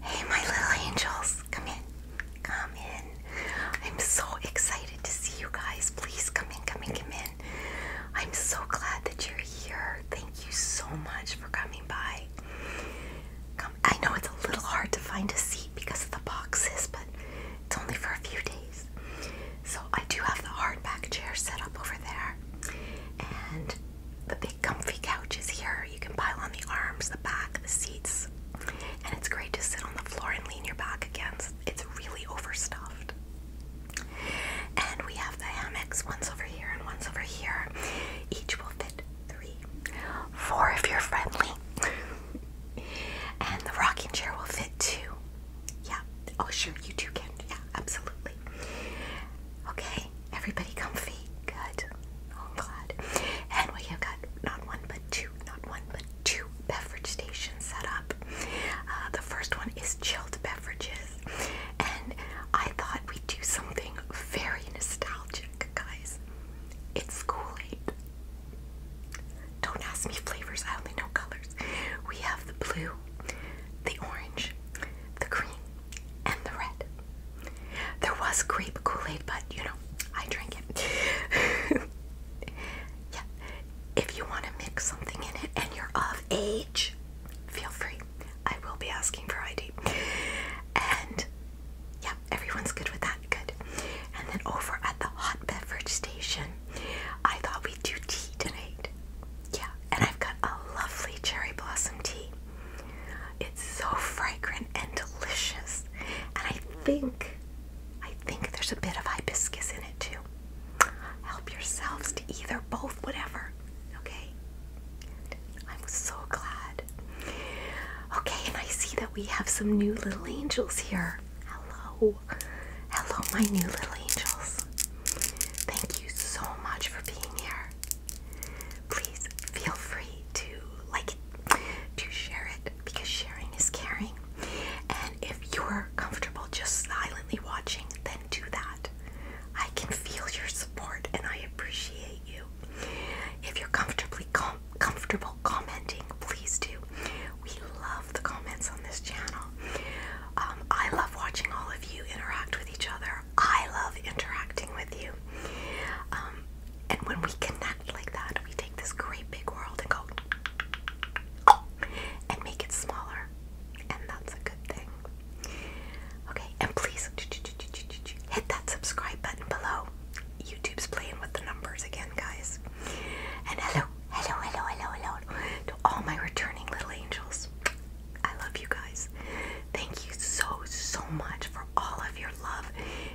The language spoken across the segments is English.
Hey, my little angels, come in, come in. I'm so excited to see you guys. Please come in, come in, come in. I'm so glad that you're here. Thank you so much for coming by. Come, I know it's a little hard to find a seat because of the boxes, but it's only for a few days. So I do have the hardback chair set up over there, and the big comfy couches here. You can pile on the arms, the back, the seats, and it's great to sit on the floor and lean your back against. It's really overstuffed. And we have the hammocks, one's over here and one's over here. Each will fit three, four if you're friendly. and the rocking chair will fit two. Yeah. Oh, sure, you two can. Yeah, absolutely. Okay, everybody comfy. Good. Oh, I'm glad. And we have got not one but two, not one but two beverage stations set up. Uh, the first one is chilled beverages. And I thought we'd do something very nostalgic, guys. It's Kool-Aid. Don't ask me flavors, I only know colors. We have the blue, the orange, the green, and the red. There was grape Kool-Aid, but you know, I drank it. yeah. If you want to mix something in it and you're of age, feel free. I will be asking for ID. And yeah, everyone's good with that. Good. And then over at the hot beverage station, I thought we'd do tea tonight. Yeah, and I've got a lovely cherry blossom tea. It's so fragrant and delicious. And I think I think there's a bit of hibiscus in it too. Help yourselves to either, both, whatever. Okay? I'm so glad. Okay, and I see that we have some new little angels here. Hello. Hello, my new little angels. Thank you so much for being here. Please feel free to like it, to share it, because sharing is caring. And if you're comfortable just silently watching, then do that. I can feel your support and I appreciate you. If you're comfortably comfortable commenting, please do. We love the comments on this channel. Um, I love watching all of you interact with each other I love interacting with you. Um, and when we connect like that, we take this great big world and go and make it smaller. And that's a good thing. Okay, and please hit that subscribe button below. YouTube's playing with the numbers again, guys. And hello, hello, hello, hello, hello to all my returning little angels. I love you guys. Thank you so, so much for all of your love,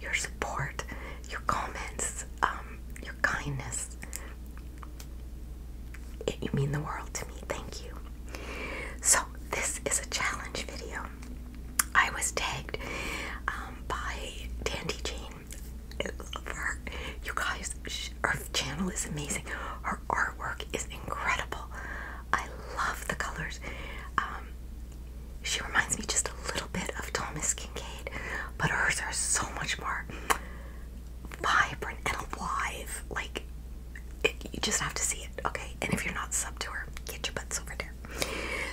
your support, your comments, um, your kindness. you mean the world to me. Thank you. So, this is a challenge video. I was tagged um, by Dandy Jane. For, you guys, her channel is amazing. Her artwork is incredible. I love the colors. Um, she reminds me just a little bit of Thomas Kincaid, but hers are so much more vibrant and alive. Like, you just have to see it, okay? And if you're not sub to her, get your butts over there.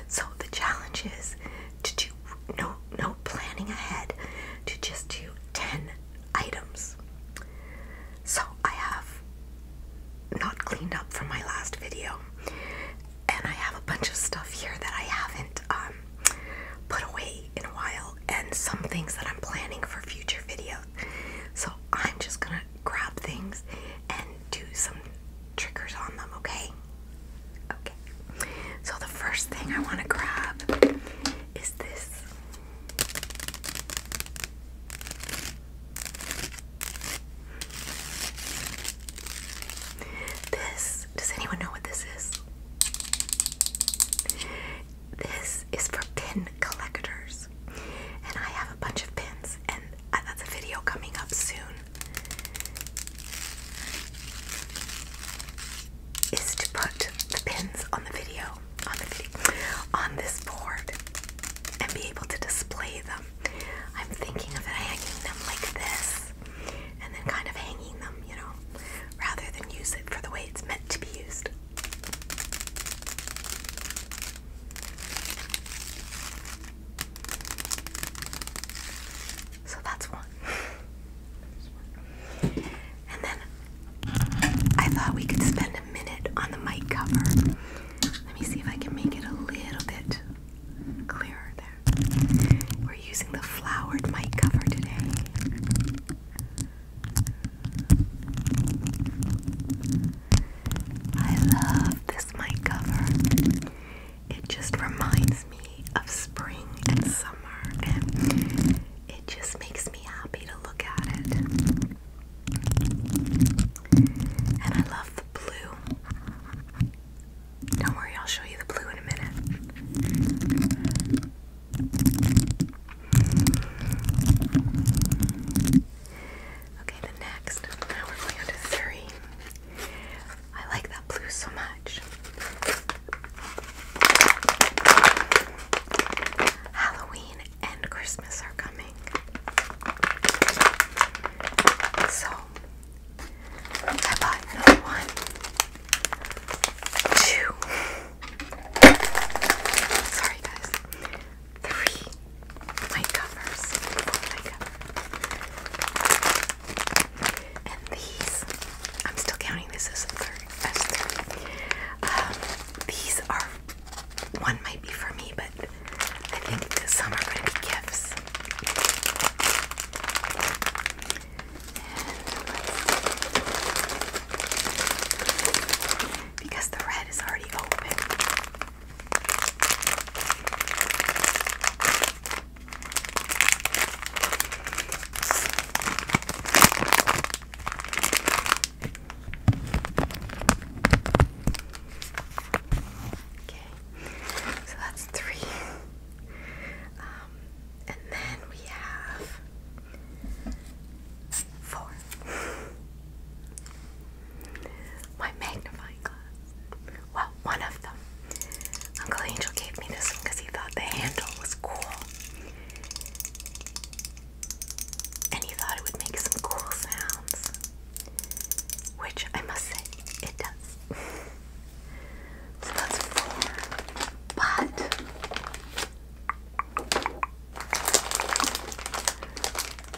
So the challenge is to do no no planning ahead, to just do ten items. So I have not cleaned up from my last video. And I have a bunch of stuff here that I haven't um, put away in a while, and some things that I'm planning for future videos. So I'm just gonna grab things and do some triggers on them, okay? Okay. So the first thing I want to grab is this this, does anyone know what this is? This is for pin collectors. And I have a bunch of pins, and I that's a video coming up soon. Is to put the pins on the video on the video, on this board and be able to display them. I'm thinking of hanging them like this and then kind of hanging them, you know, rather than use it for the way it's meant to be used. So that's one. and then I thought we could spend a minute on the mic cover. Let me see if I can make it a little bit clearer there. We're using the flowered mic cover today. I love this mic cover. It just reminds me of spring and summer and it just makes me happy to look at it. And I love the blue. Don't worry, I'll show you the blue in a minute. Okay, the next. we're going to three. I like that blue so much. Halloween and Christmas are coming. So I bought another one. Two. Sorry guys. Three light covers. And these I'm still counting this as third as three. Um, these are one might be for me, but I think some are going to be gifts. because the red is already open. Okay, so that's three. Um, and then we have four. My magnifying glass. Well, one of them. Uncle Angel gave me this one because he thought the handle was cool and he thought it would make some cool sounds, which I must say it does. so that's four. But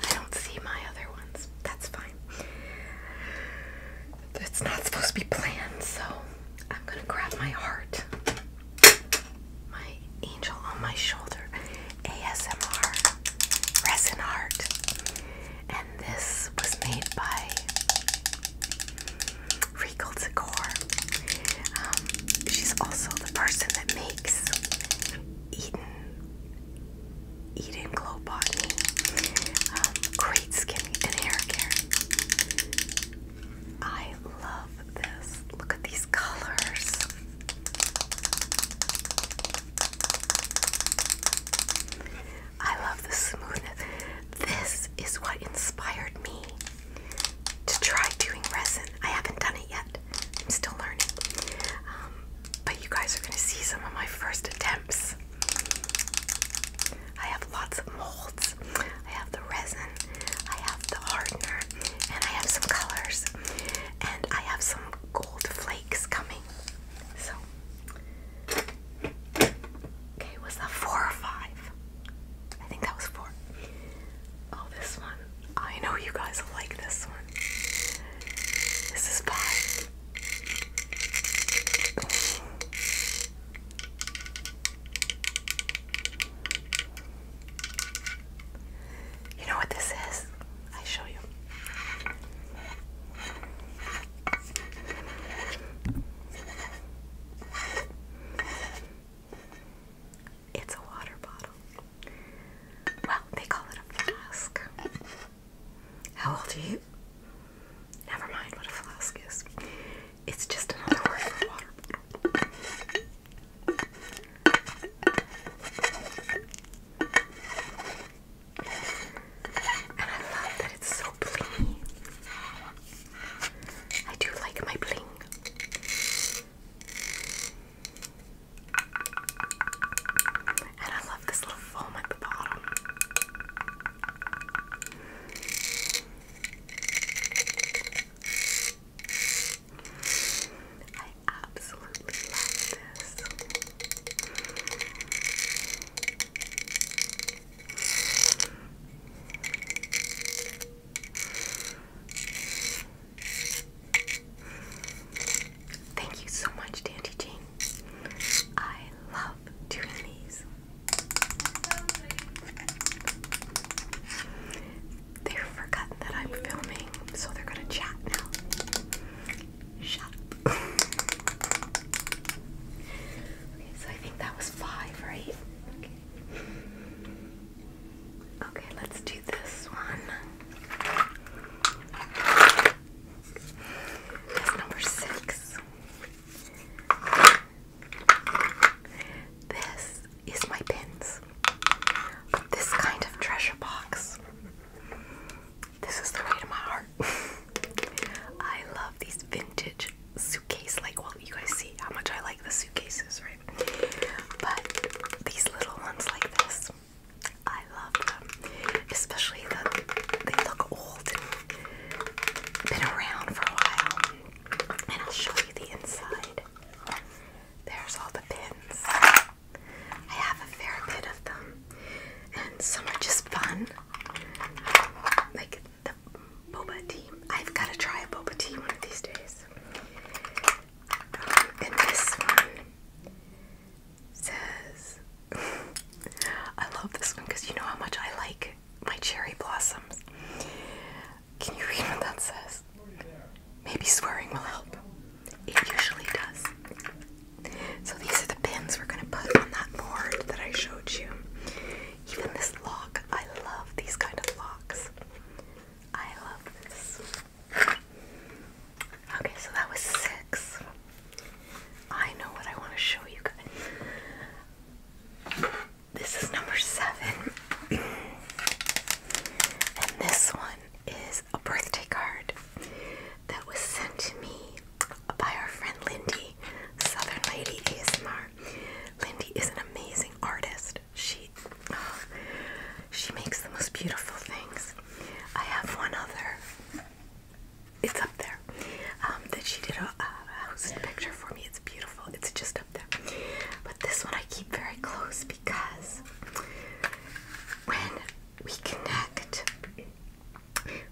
I don't see my other ones. That's fine. It's not supposed to be planned, so I'm gonna grab my heart my angel on my shoulder ASMR resin art and this was made by Regal Decor. Um, she's also the person that makes Eden Eden Glow Body um, great skin and hair care. I love this. Look at these colors. I love the smoothness. This is what inspired me to try doing resin. I haven't done it yet. I'm still learning. Um, but you guys are going to see some of my first attempts. I have lots of molds. I have the resin. I have the hardener, and I have some colors, and I have some gold flakes coming. So, okay, was that four or five? I think that was four. Oh, this one. I know you guys like this one. This is five. You know what this is? I show you. It's a water bottle. Well, they call it a flask. How old are you? Never mind what a flask is. It's just another word for water and I love that it's so blingy. I do like my bling. And I love this little foam at the bottom. I absolutely love this. Thank you so much, Dandy Jane. I love doing these. They've forgotten that I'm filming, so they're gonna chat now. Shut okay, so I think that was five, right? Okay. let's do this one. number six. This is my pins. But this kind of treasure box. This is the weight of my heart. I love these vintage suitcase like well you guys see how much I like the suitcases, right? But these little ones like this. I love them. Especially the they look old and been around for a while. And I'll show you the inside. There's all the pins. I have a fair bit of them, and some are just fun. Like the boba tea. I've got to try a boba tea one of these days. Um, and this one says, I love this one because you know how much I like my cherry blossoms. Can you read what that says? Maybe swearing will help. It usually does. So these are the pins we're going to put on that board that I showed you. Even this lock, I love these kind of locks. I love this. Okay, so that was six. I know what I want to show you guys. This is number seven. And this one is a birthday card that was sent to me by our friend Lindy, Southern Lady ASMR. Lindy is an amazing artist. She uh, she makes the most beautiful things. I have one other. It's up there. Um, that she did a, a house picture for me. It's beautiful. It's just but this one I keep very close because when we connect,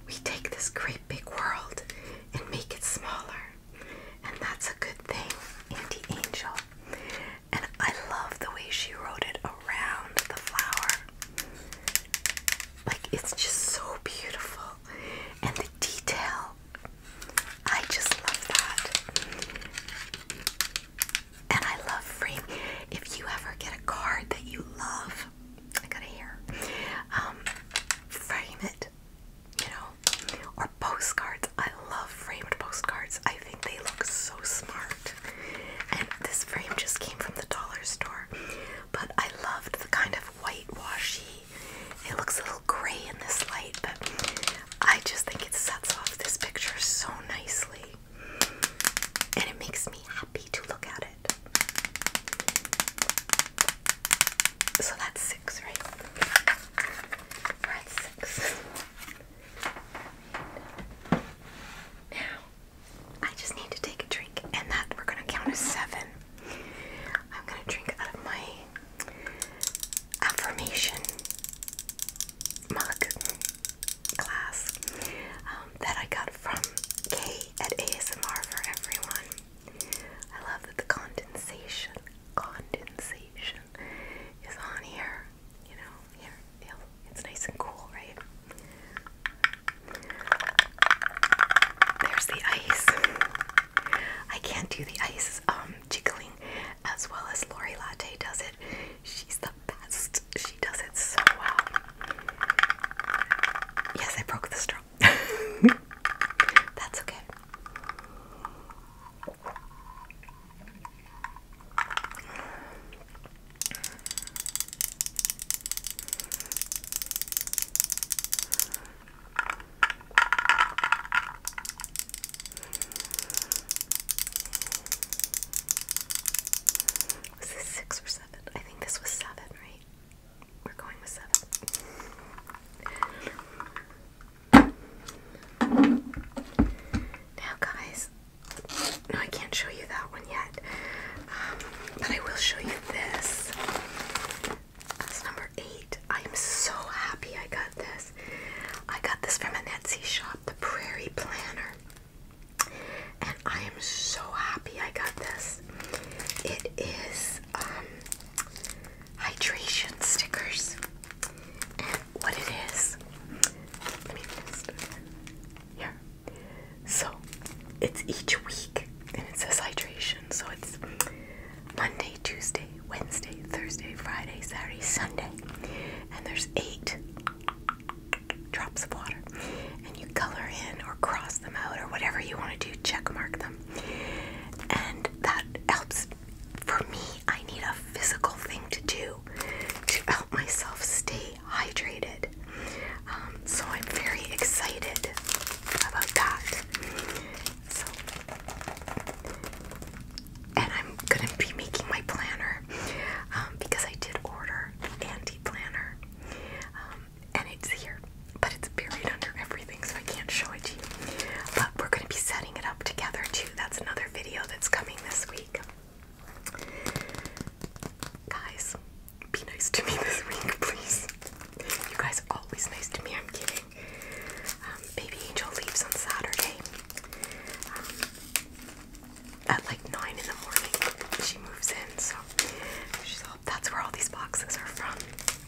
we take this great big world and make it smaller. And that's a good thing, Auntie Angel. And I love the way she wrote it around the flower. Like, it's just so beautiful. And the detail I just love that. And I love frame. If you ever get a card that you love, I got a hair. Um, frame it, you know, or postcards. I love framed postcards. I think they look so smart. And this frame just came from the dollar store, but I loved the kind of whitewashy. It looks gray in this light, but I just think it sets off this picture so nicely. And it makes me happy to look at it. So that's six, right? We're at six. Now, I just need to take a drink, and that we're gonna count as seven. I'm gonna drink out of my affirmation mug class um, that I got from Kay at ASMR for Everyone. I love that the condensation, condensation is on here. You know, here, it's nice and cool, right? There's the ice. I can't do the ice um, jiggling as well as Lori Latte does it. She's the best. She does it so well. Yes, I broke the straw. That's okay. Was this six or seven? I think this was seven, right? We're going with seven. Now, guys, no, I can't show you that one yet, um, but I will show you this. That's number eight. I am so happy I got I got this from a Etsy shop, the Prairie Planner. And I am so happy I got this. It is um, hydration stickers. And what it is, let me just, here. So it's each week and it says hydration. So it's Monday, Tuesday, Wednesday, Thursday, Friday, Saturday, Sunday. And there's eight drops of water. And you color in or cross them out or whatever you want to do, check mark them. And that helps. For me, I need a physical thing to do to help myself stay hydrated. Um, so I'm very excited about that. So and I'm gonna be making my planner um, because I did order an anti planner, um, and it's here, but it's buried under everything, so I can't show it to you. But we're gonna be setting it up together too. That's another video that's coming this week, guys. Be nice to me this week, please. You guys are always nice to me. I'm kidding. Um, baby Angel leaves on Saturday um, at like 9 in the morning. She moves in, so that's where all these boxes are from,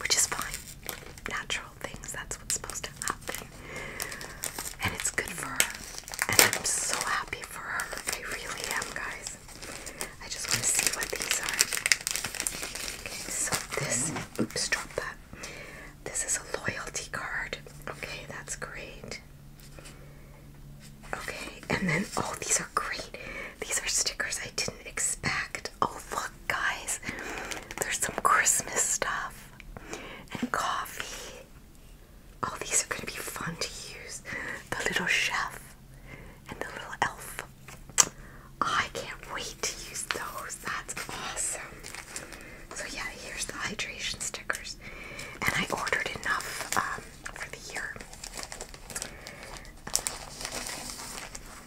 which is fine. Natural things, that's what's supposed to happen. And it's good for her. And I'm so happy for her. I really am, guys. I just want to see what these are. Okay, so this, oops, drop that. This is a loyalty card. Okay, that's great. Okay, and then oh, these are great. These are stickers I didn't expect. Oh, look, guys, there's some Christmas stuff and coffee. Oh, these are going to be fun to use. The little chef and the little elf. I can't wait to use those. That's awesome. So yeah, here's the hydration stickers. And I ordered enough um, for the year.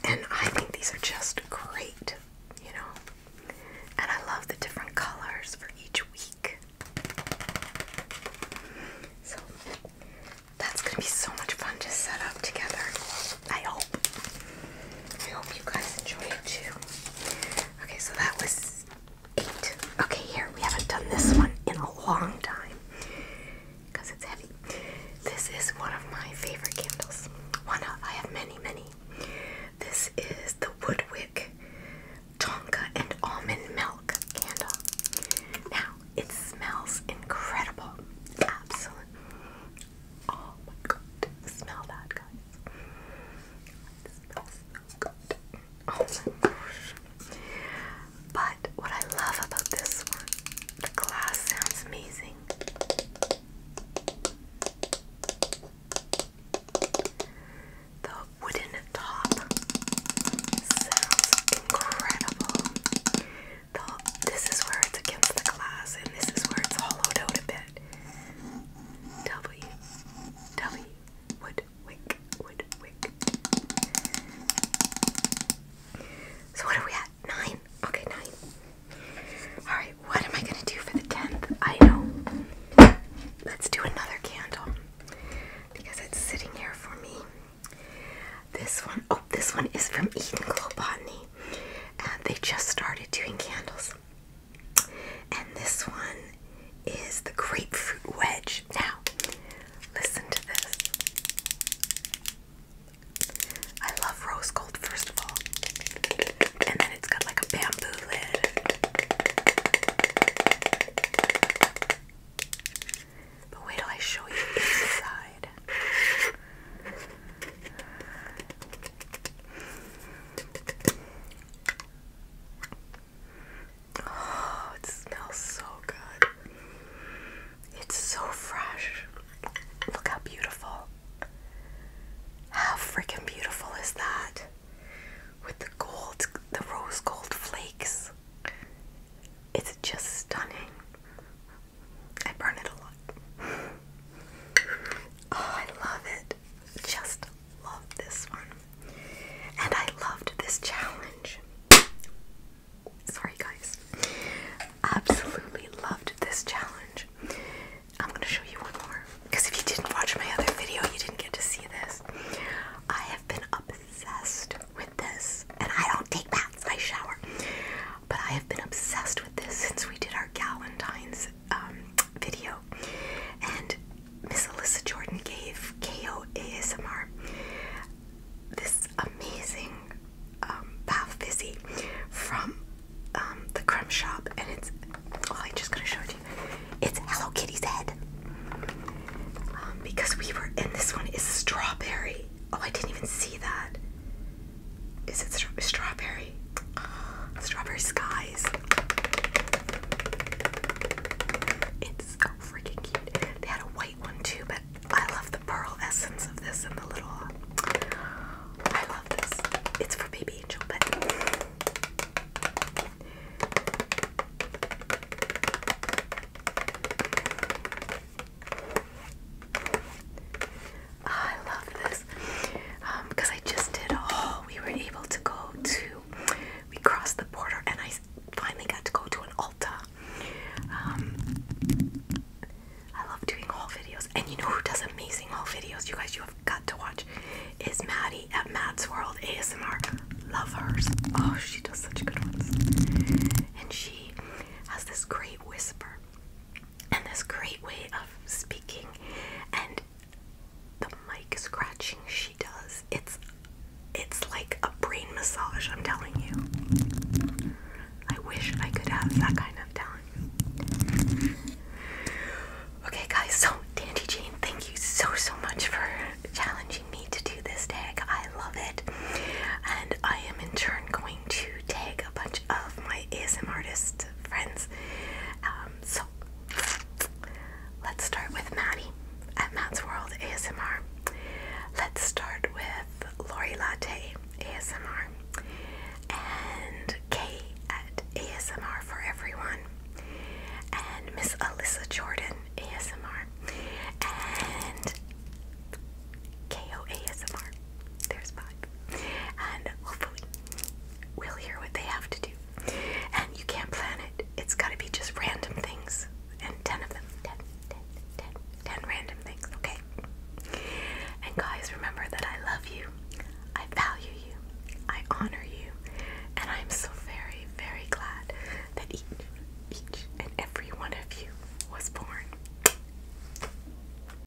And I think these are just great, you know. And I love the different colors for each week. So that's going to be so much fun to set up together. I hope. I hope you guys enjoy it too. Okay, so that was eight. Okay, here, we haven't done this one in a long time because it's heavy. This is one of my favorite candles. One, of I have many, many. This is the Woodwick Tonka and Almond Milk candle. Now, it smells incredible. Absolutely. Oh my god. Smell that, guys. It smells so good. Oh my gosh. But what I love about this one, the glass sounds amazing. The wooden top sounds incredible. this is where it's against the glass, and this is where it's hollowed out a bit. W W Woodwick Woodwick. So what are we at? Nine. Okay, nine. All right. What am I gonna do for the tenth? I know. Let's do another candle because it's sitting here for me. This one, oh, this one is from Eden Glow and they just started doing candles. And this one is the grapefruit wedge. Now, listen to this. I love rose gold, first of all. And then it's got like a bamboo lid. But wait till I show you inside. Oh, it smells so good. It's so fresh. Look how beautiful. How freaking beautiful is that? With the gold, the rose gold flakes. It's just stunning. I burn it a lot. Oh, I love it. Just love this one. And I loved this challenge. Sorry, guys. Absolutely loved this challenge. I'm going to show you one more. Because if you didn't watch my other video, you didn't get to see this. I have been obsessed with this. And I don't take baths, I shower. But I have been obsessed with this since we did our Galentine's um, video, and Miss Alyssa Jordan gave KO ASMR this amazing um, bath fizzy from um, the crumb shop, and it's oh, I'm just gonna show it to you. It's Hello Kitty's head because we were, and this one is strawberry. Oh, I didn't even see that. Is it strawberry? Strawberry skies. It's so freaking cute. They had a white one too, but I love the pearl essence of this and the little. Uh, I love this. It's for Baby Angel, I love because um, I just did oh we were able to go to we crossed the border and I finally got to go to an Ulta um, I love doing haul videos and you know who does amazing haul videos you guys you have got to watch is Maddie at Matt's World ASMR Lovers. oh she does such good ones and she has this great whisper and this great way of speaking and the mic scratching she does it's it's like a brain massage i'm telling you i wish i could have that kind of talent okay guys so dandy jane thank you so so much for challenging me to do this tag i love it and i am in turn going to tag a bunch of my asm artists friends. Um, so let's start with Maddie at Matt's World ASMR. Let's start with Lori Latte ASMR and K at ASMR for Everyone and Miss Alyssa Jordan ASMR and KO ASMR. There's five. And hopefully we'll hear what they have to do. And you can't plan it. It's got to be just random things. And 10 of them. 10, random things, okay? And guys, remember that I love you. I value you. I honor you. And I'm so very, very glad that each, each and every one of you was born.